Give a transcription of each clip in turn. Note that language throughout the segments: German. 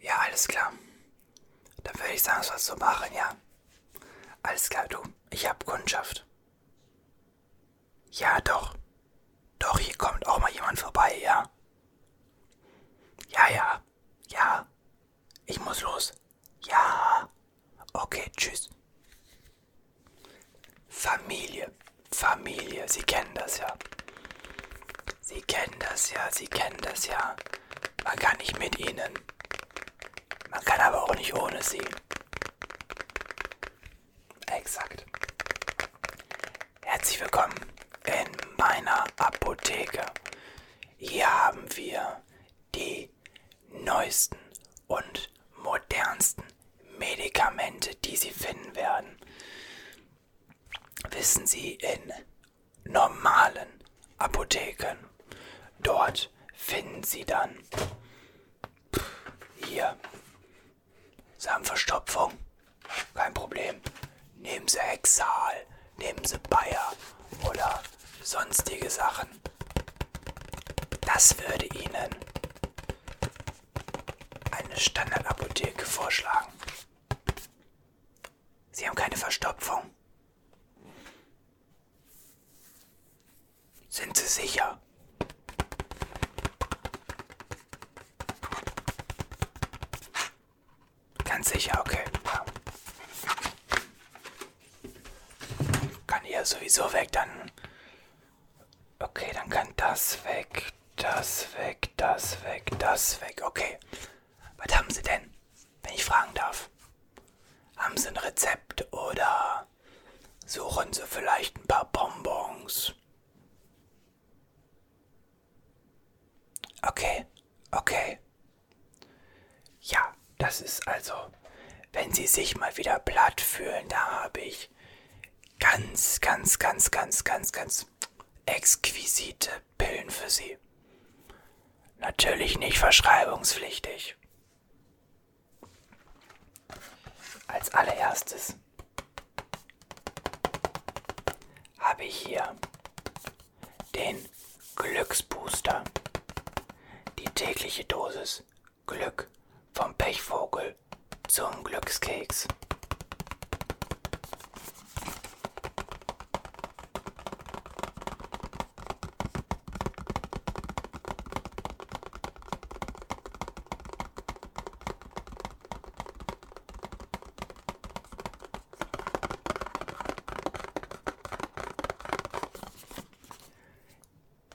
Ja, alles klar. Dann würde ich sagen, es was zu machen, ja. Alles klar, du. Ich hab Kundschaft. Ja, doch. Doch, hier kommt auch mal jemand vorbei, ja. Ja, ja. Ja. Ich muss los. Ja. Okay, tschüss. Familie. Familie. Sie kennen das ja. Sie kennen das ja, Sie kennen das ja. Man kann nicht mit ihnen. Man kann aber auch nicht ohne sie. Exakt. Herzlich willkommen in meiner Apotheke. Hier haben wir die neuesten und modernsten Medikamente, die Sie finden werden wissen Sie in normalen Apotheken. Dort finden Sie dann hier. Sie haben Verstopfung. Kein Problem. Nehmen Sie Hexal, nehmen Sie Bayer oder sonstige Sachen. Das würde Ihnen eine Standardapotheke vorschlagen. Sie haben keine Verstopfung. Sind Sie sicher? Ganz sicher, okay. Ja. Kann hier sowieso weg, dann. Okay, dann kann das weg, das weg, das weg, das weg. Okay. Was haben Sie denn, wenn ich fragen darf? Haben Sie ein Rezept oder suchen Sie vielleicht ein paar Bonbons? Okay, okay. Ja, das ist also, wenn Sie sich mal wieder platt fühlen, da habe ich ganz, ganz, ganz, ganz, ganz, ganz exquisite Pillen für Sie. Natürlich nicht verschreibungspflichtig. Als allererstes habe ich hier den Glücksbooster. Die tägliche Dosis Glück vom Pechvogel zum Glückskeks.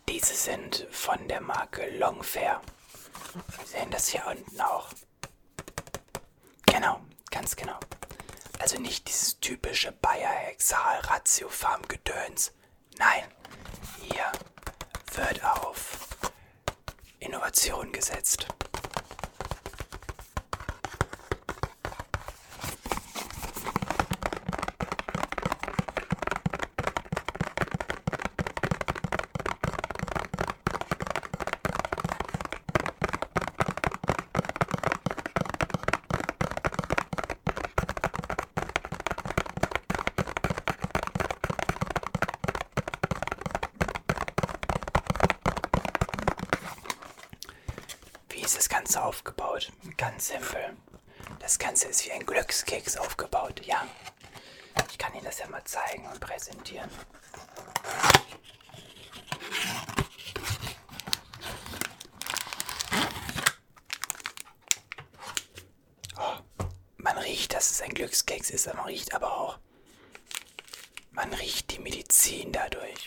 Diese sind von der Marke Longfair. Wir sehen das hier unten auch. Genau, ganz genau. Also nicht dieses typische Bayer-Hexal-Ratiofarm-Gedöns. Nein, hier wird auf Innovation gesetzt. Wie ist das Ganze aufgebaut? Ganz simpel. Das Ganze ist wie ein Glückskeks aufgebaut, ja. Ich kann Ihnen das ja mal zeigen und präsentieren. Oh, man riecht, dass es ein Glückskeks ist, aber man riecht aber auch. Man riecht die Medizin dadurch.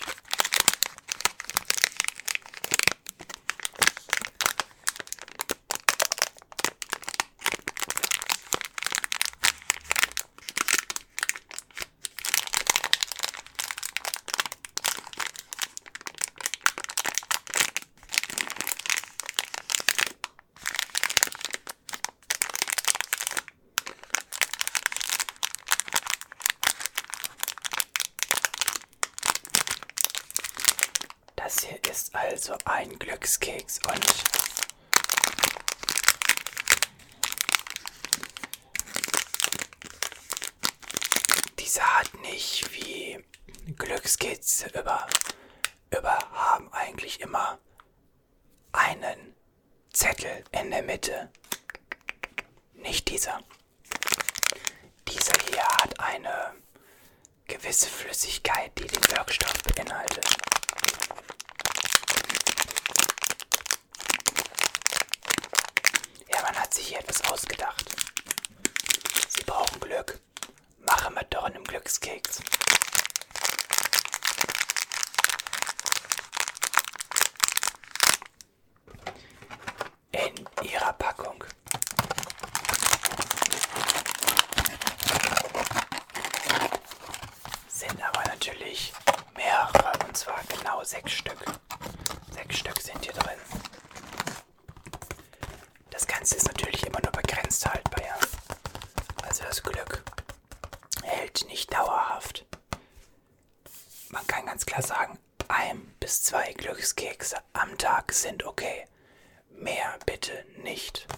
Das hier ist also ein Glückskeks und diese hat nicht wie Glückskids über, über haben eigentlich immer einen Zettel in der Mitte. Nicht dieser. Dieser hier hat eine gewisse Flüssigkeit, die den Wirkstoff beinhaltet. Ja, man hat sich hier etwas ausgedacht. Sie brauchen Glück. Mache mit doch einem Glückskeks. In ihrer Packung sind aber natürlich mehrere und zwar genau sechs Stück. Sechs Stück sind hier drin. Das Ganze ist natürlich immer nur begrenzt haltbar. Ja? Also das Glück hält nicht dauerhaft. Man kann ganz klar sagen, ein bis zwei Glückskekse am Tag sind okay. Mehr bitte nicht.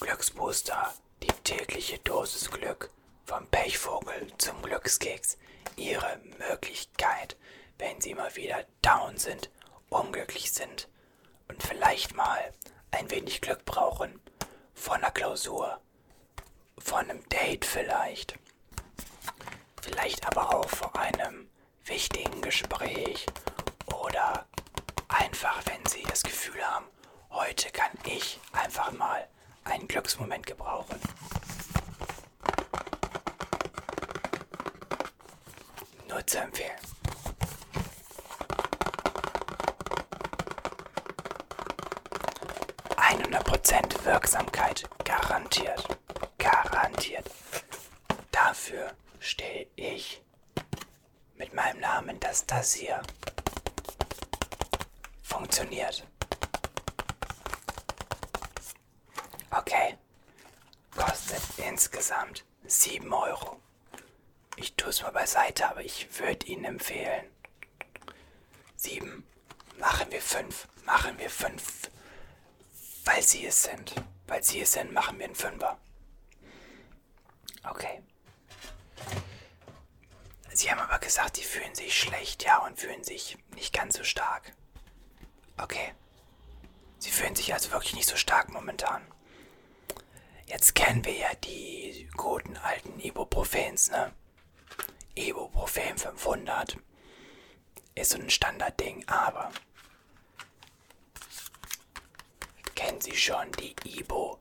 Glücksbooster, die tägliche Dosis Glück vom Pechvogel zum Glückskeks. Ihre Möglichkeit, wenn Sie mal wieder down sind, unglücklich sind und vielleicht mal ein wenig Glück brauchen. Von einer Klausur, von einem Date vielleicht, vielleicht aber auch vor einem wichtigen Gespräch oder einfach, wenn Sie das Gefühl haben, heute kann ich einfach mal einen Glücksmoment gebrauchen. Nur zu empfehlen. Prozent Wirksamkeit garantiert. Garantiert. Dafür stehe ich mit meinem Namen, dass das hier funktioniert. Okay. Kostet insgesamt 7 Euro. Ich tue es mal beiseite, aber ich würde Ihnen empfehlen. 7. Machen wir 5. Machen wir 5. Weil Sie es sind. Weil Sie es sind, machen wir einen Fünfer. Okay. Sie haben aber gesagt, sie fühlen sich schlecht, ja, und fühlen sich nicht ganz so stark. Okay. Sie fühlen sich also wirklich nicht so stark momentan. Jetzt kennen wir ja die guten alten Ibuprofens, ne? Ibuprofen 500 ist so ein Standardding, aber Kennen Sie schon die Ibo?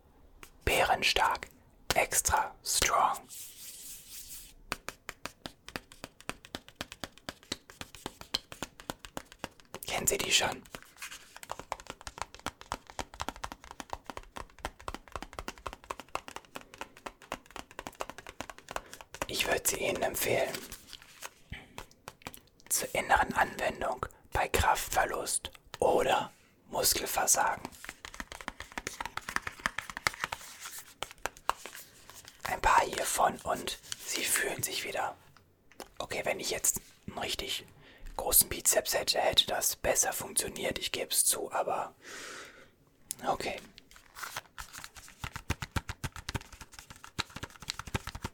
Bärenstark, extra strong. Kennen Sie die schon? Ich würde sie Ihnen empfehlen zur inneren Anwendung bei Kraftverlust oder Muskelversagen. Ein paar hiervon und sie fühlen sich wieder. Okay, wenn ich jetzt einen richtig großen Bizeps hätte, hätte das besser funktioniert, ich gebe es zu, aber okay.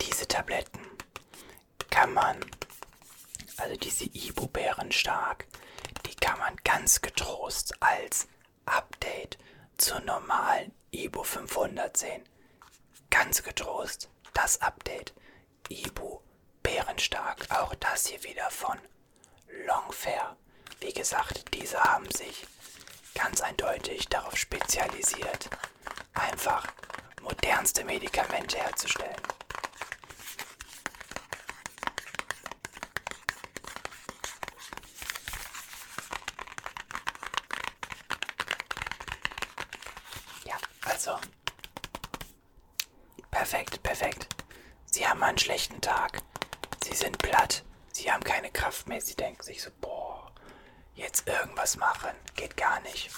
Diese Tabletten kann man, also diese Ibu-Bären stark, die kann man ganz getrost als Update zur normalen Ibu 500 sehen. Ganz getrost das Update Ibu Bärenstark. Auch das hier wieder von Longfair. Wie gesagt, diese haben sich ganz eindeutig darauf spezialisiert, einfach modernste Medikamente herzustellen. Ja, also Perfekt, perfekt. Sie haben einen schlechten Tag. Sie sind platt. Sie haben keine Kraft mehr. Sie denken sich so, boah, jetzt irgendwas machen. Geht gar nicht.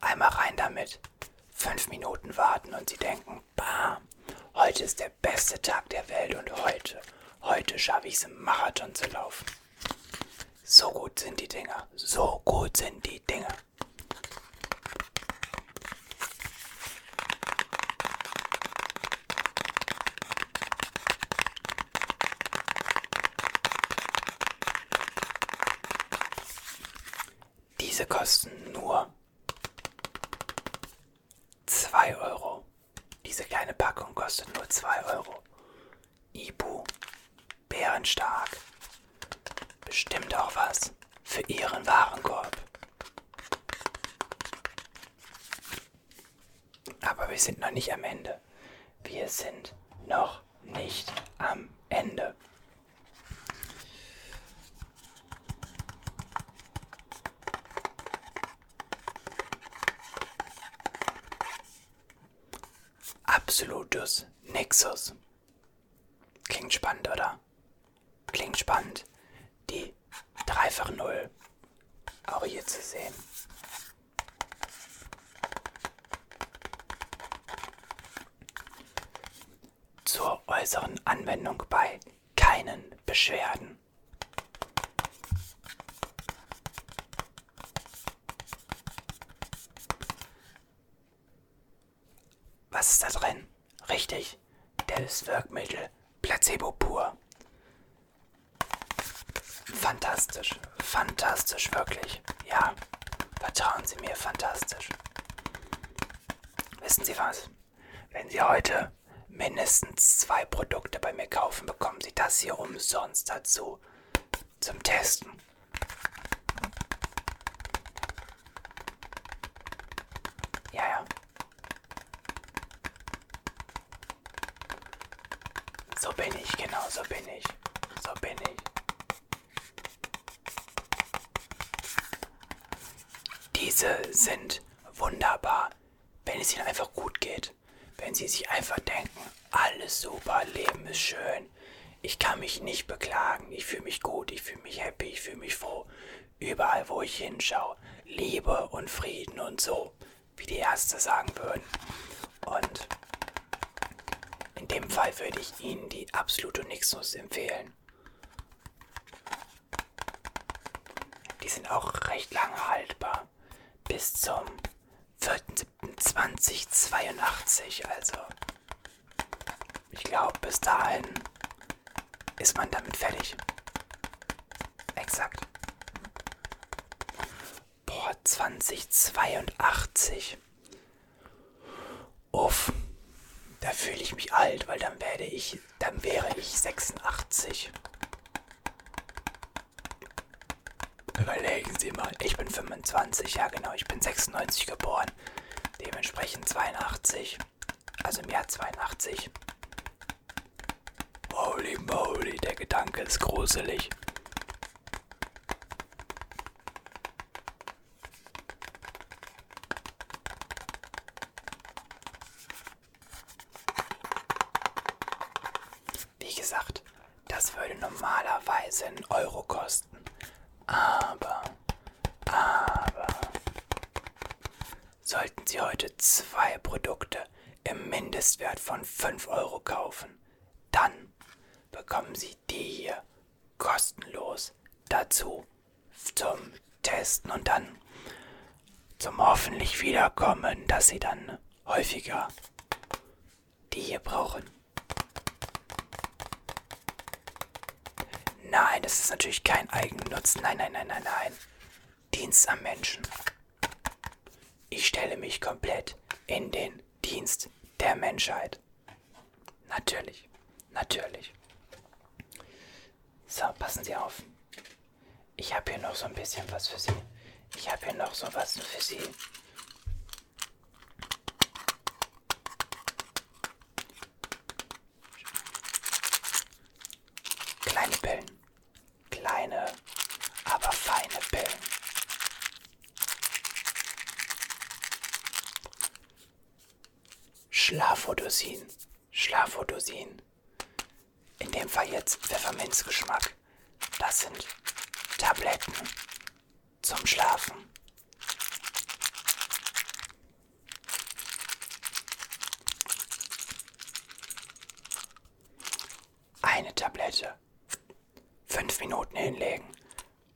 Einmal rein damit. Fünf Minuten warten und sie denken, bam, heute ist der beste Tag der Welt und heute, heute schaffe ich es im Marathon zu laufen. So gut sind die Dinger. So gut sind die Dinger. Diese kosten nur zwei Euro. Diese kleine Packung kostet nur zwei Euro. Ibu, bärenstark, bestimmt auch was für Ihren Warenkorb. Aber wir sind noch nicht am Ende. Wir sind noch nicht am Ende. Absolutus Nexus. Klingt spannend, oder? Klingt spannend, die dreifache Null auch hier zu sehen. Zur äußeren Anwendung bei keinen Beschwerden. Was ist da drin? Richtig, Hilfswirkmittel, Placebo pur. Fantastisch, fantastisch, wirklich. Ja, vertrauen Sie mir, fantastisch. Wissen Sie was? Wenn Sie heute mindestens zwei Produkte bei mir kaufen, bekommen Sie das hier umsonst dazu. Zum Testen. Ja, ja. So bin ich, genau, so bin ich. So bin ich. Diese sind wunderbar, wenn es ihnen einfach gut geht. Wenn sie sich einfach denken, alles super, Leben ist schön. Ich kann mich nicht beklagen. Ich fühle mich gut, ich fühle mich happy, ich fühle mich froh. Überall, wo ich hinschaue, Liebe und Frieden und so, wie die Ärzte sagen würden. Und in dem Fall würde ich Ihnen die absolute Nixus empfehlen. Die sind auch recht lange haltbar. Bis zum 4.7.2082, also ich glaube, bis dahin ist man damit fertig. Exakt. Boah, 2082. Uff. Da fühle ich mich alt, weil dann werde ich, dann wäre ich 86. Überlegen Sie mal, ich bin 25, ja genau, ich bin 96 geboren. Jahren. Dementsprechend 82. Also im Jahr 82. Holy moly, der Gedanke ist gruselig. Wie gesagt, das würde normalerweise einen Euro kosten. Aber aber sollten Sie heute zwei Produkte im Mindestwert von 5 Euro kaufen, dann bekommen Sie die hier kostenlos dazu zum Testen und dann zum hoffentlich Wiederkommen, dass Sie dann häufiger die hier brauchen. Nein, das ist natürlich kein Eigennutz. Nein, nein, nein, nein, nein. Dienst am Menschen. Ich stelle mich komplett in den Dienst der Menschheit. Natürlich, natürlich. So, passen Sie auf. Ich habe hier noch so ein bisschen was für Sie. Ich habe hier noch so was für Sie. Kleine Pillen. Kleine, aber feine Pillen. Schlafodosin. Schlafodosin. In dem Fall jetzt Pfefferminzgeschmack. Das sind Tabletten zum Schlafen. Eine Tablette. Fünf Minuten hinlegen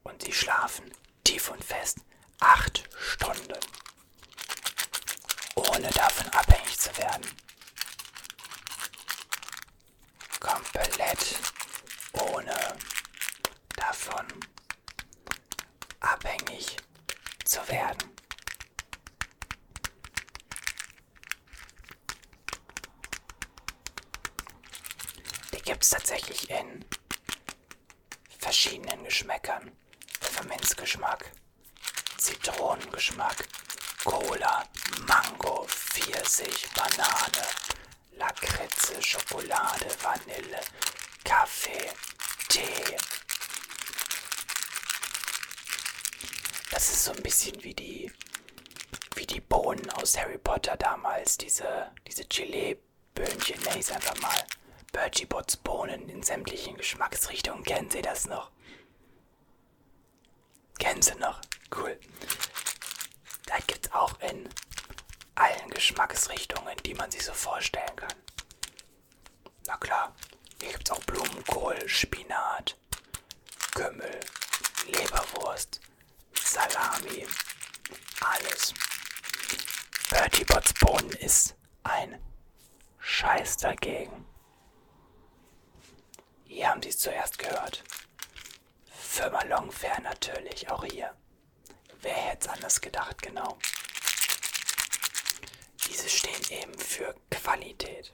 und sie schlafen tief und fest acht Stunden, ohne davon abhängig zu werden. Komplett ohne davon abhängig zu werden. Die gibt es tatsächlich in verschiedenen Geschmäckern. Pfefferminzgeschmack, Zitronengeschmack, Cola, Mango, Pfirsich, Banane, Lakritze, Schokolade, Vanille, Kaffee, Tee. Das ist so ein bisschen wie die, wie die Bohnen aus Harry Potter damals, diese, diese Gelee-Böhnchen, nenne ich es einfach mal. Bertie Bots Bohnen in sämtlichen Geschmacksrichtungen, kennen Sie das noch? Kennen Sie noch? Cool. Das gibt's auch in allen Geschmacksrichtungen, die man sich so vorstellen kann. Na klar, hier gibt's auch Blumenkohl, Spinat, Kümmel, Leberwurst, Salami, alles. Bertie Bots Bohnen ist ein Scheiß dagegen. Hier haben Sie es zuerst gehört. Firma Longfair natürlich, auch hier. Wer hätte es anders gedacht, genau. Diese stehen eben für Qualität.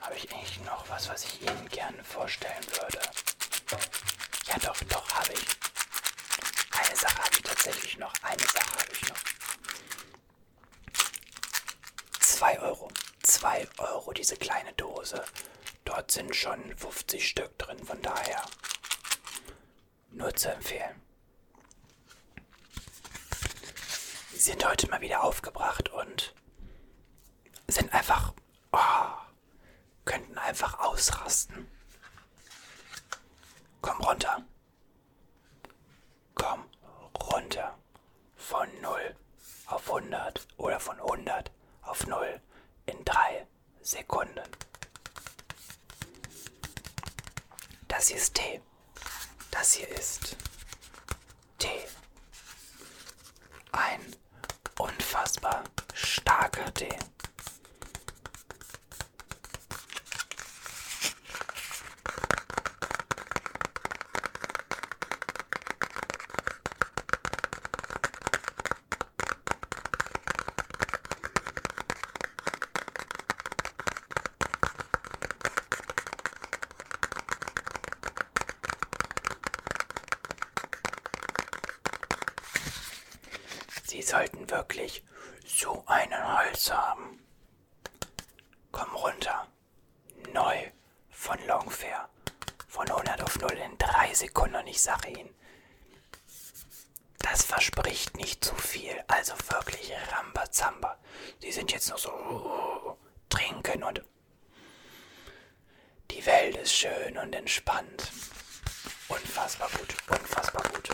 Habe ich eigentlich noch was, was ich Ihnen gerne vorstellen würde? Ja, doch, doch, habe ich. Eine Sache habe ich tatsächlich noch. Eine Sache habe ich noch. 2 Euro. 2 Euro diese kleine Dose. Dort sind schon 50 Stück drin, von daher nur zu empfehlen. Sie sind heute mal wieder aufgebracht und sind einfach oh, könnten einfach ausrasten. Komm runter. Komm runter. Von 0 auf 100 oder von 100 auf 0 in 3 Sekunden. Das hier ist Tee. Das hier ist T. Ein unfassbar starker Tee. Sie sollten wirklich so einen Hals haben. Komm runter. Neu von Longfair. Von 100 auf 0 in 3 Sekunden und ich sage Ihnen, das verspricht nicht zu viel. Also wirklich Rambazamba. Sie sind jetzt nur so trinken und die Welt ist schön und entspannt. Unfassbar gut, unfassbar gut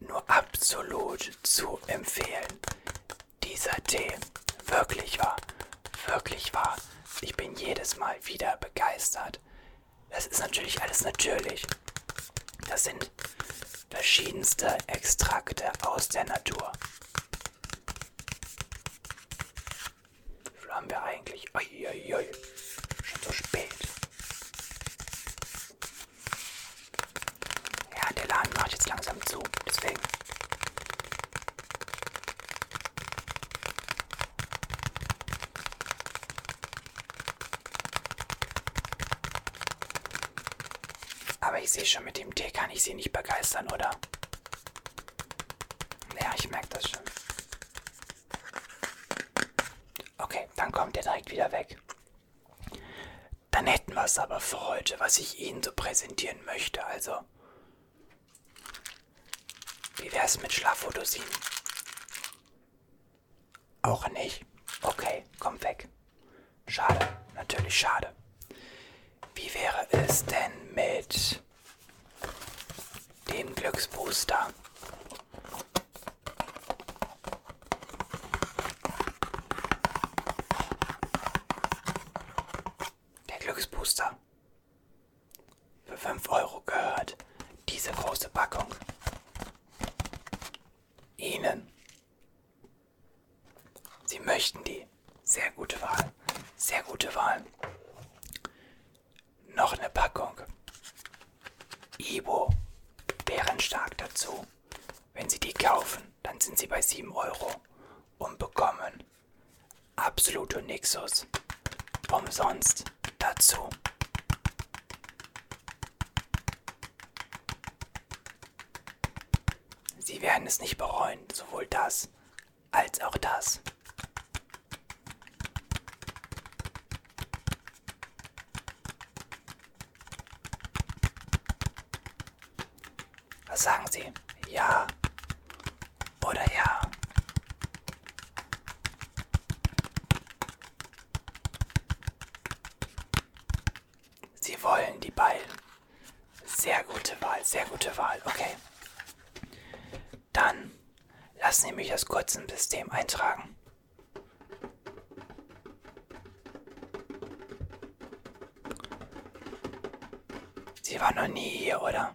nur absolut zu empfehlen. Dieser Tee, wirklich wahr, wirklich wahr. Ich bin jedes Mal wieder begeistert. Das ist natürlich alles natürlich. Das sind verschiedenste Extrakte aus der Natur. Wie viel haben wir eigentlich? Uiuiui, schon so spät. Ja, der Laden macht jetzt langsam zu, deswegen. Aber ich sehe schon, mit dem Tee kann ich sie nicht begeistern, oder? Ja, ich merke das schon. Okay, dann kommt er direkt wieder weg. Dann hätten wir es aber für heute, was ich Ihnen so präsentieren möchte. Also, wie wäre es mit Schlafphotosin? Auch nicht. Okay, kommt weg. Schade, natürlich schade. Wie wäre es denn mit dem Glücksbooster? Der Glücksbooster. Für 5 Euro gehört diese große Packung Ihnen. Sie möchten die. Sehr gute Wahl. Sehr gute Wahl noch eine Packung Ibo Bärenstark dazu. Wenn Sie die kaufen, dann sind Sie bei 7 Euro und bekommen Absoluto Nixus umsonst dazu. Sie werden es nicht bereuen, sowohl das als auch das. Was sagen Sie? Ja oder ja? Sie wollen die beiden. Sehr gute Wahl, sehr gute Wahl. Okay. Dann lassen Sie mich das kurz im System eintragen. Sie war noch nie hier, oder?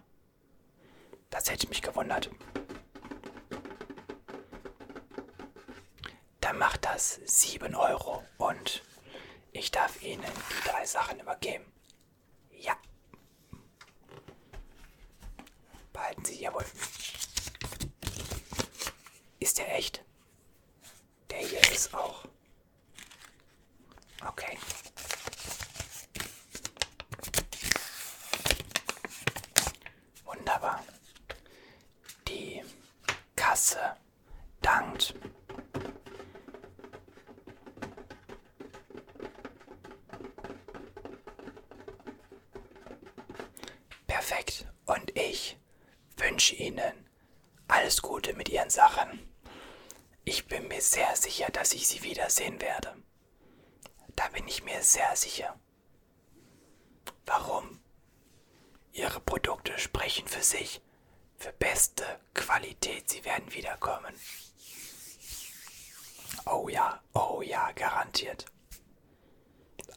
Das hätte mich gewundert. Dann macht das 7 Euro und ich darf Ihnen die drei Sachen übergeben. Ja. Behalten Sie, jawohl. Ist der echt? Der hier ist auch. Okay. Wunderbar. Die Kasse dankt. Perfekt. Und ich wünsche Ihnen alles Gute mit Ihren Sachen. Ich bin mir sehr sicher, dass ich Sie wiedersehen werde. Da bin ich mir sehr sicher. Warum? Ihre Produkte sprechen für sich. Für beste Qualität. Sie werden wiederkommen. Oh ja, oh ja, garantiert.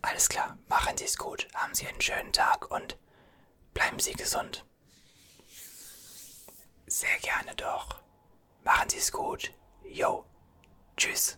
Alles klar, machen Sie es gut, haben Sie einen schönen Tag und bleiben Sie gesund. Sehr gerne doch. Machen Sie es gut. Yo. Tschüss.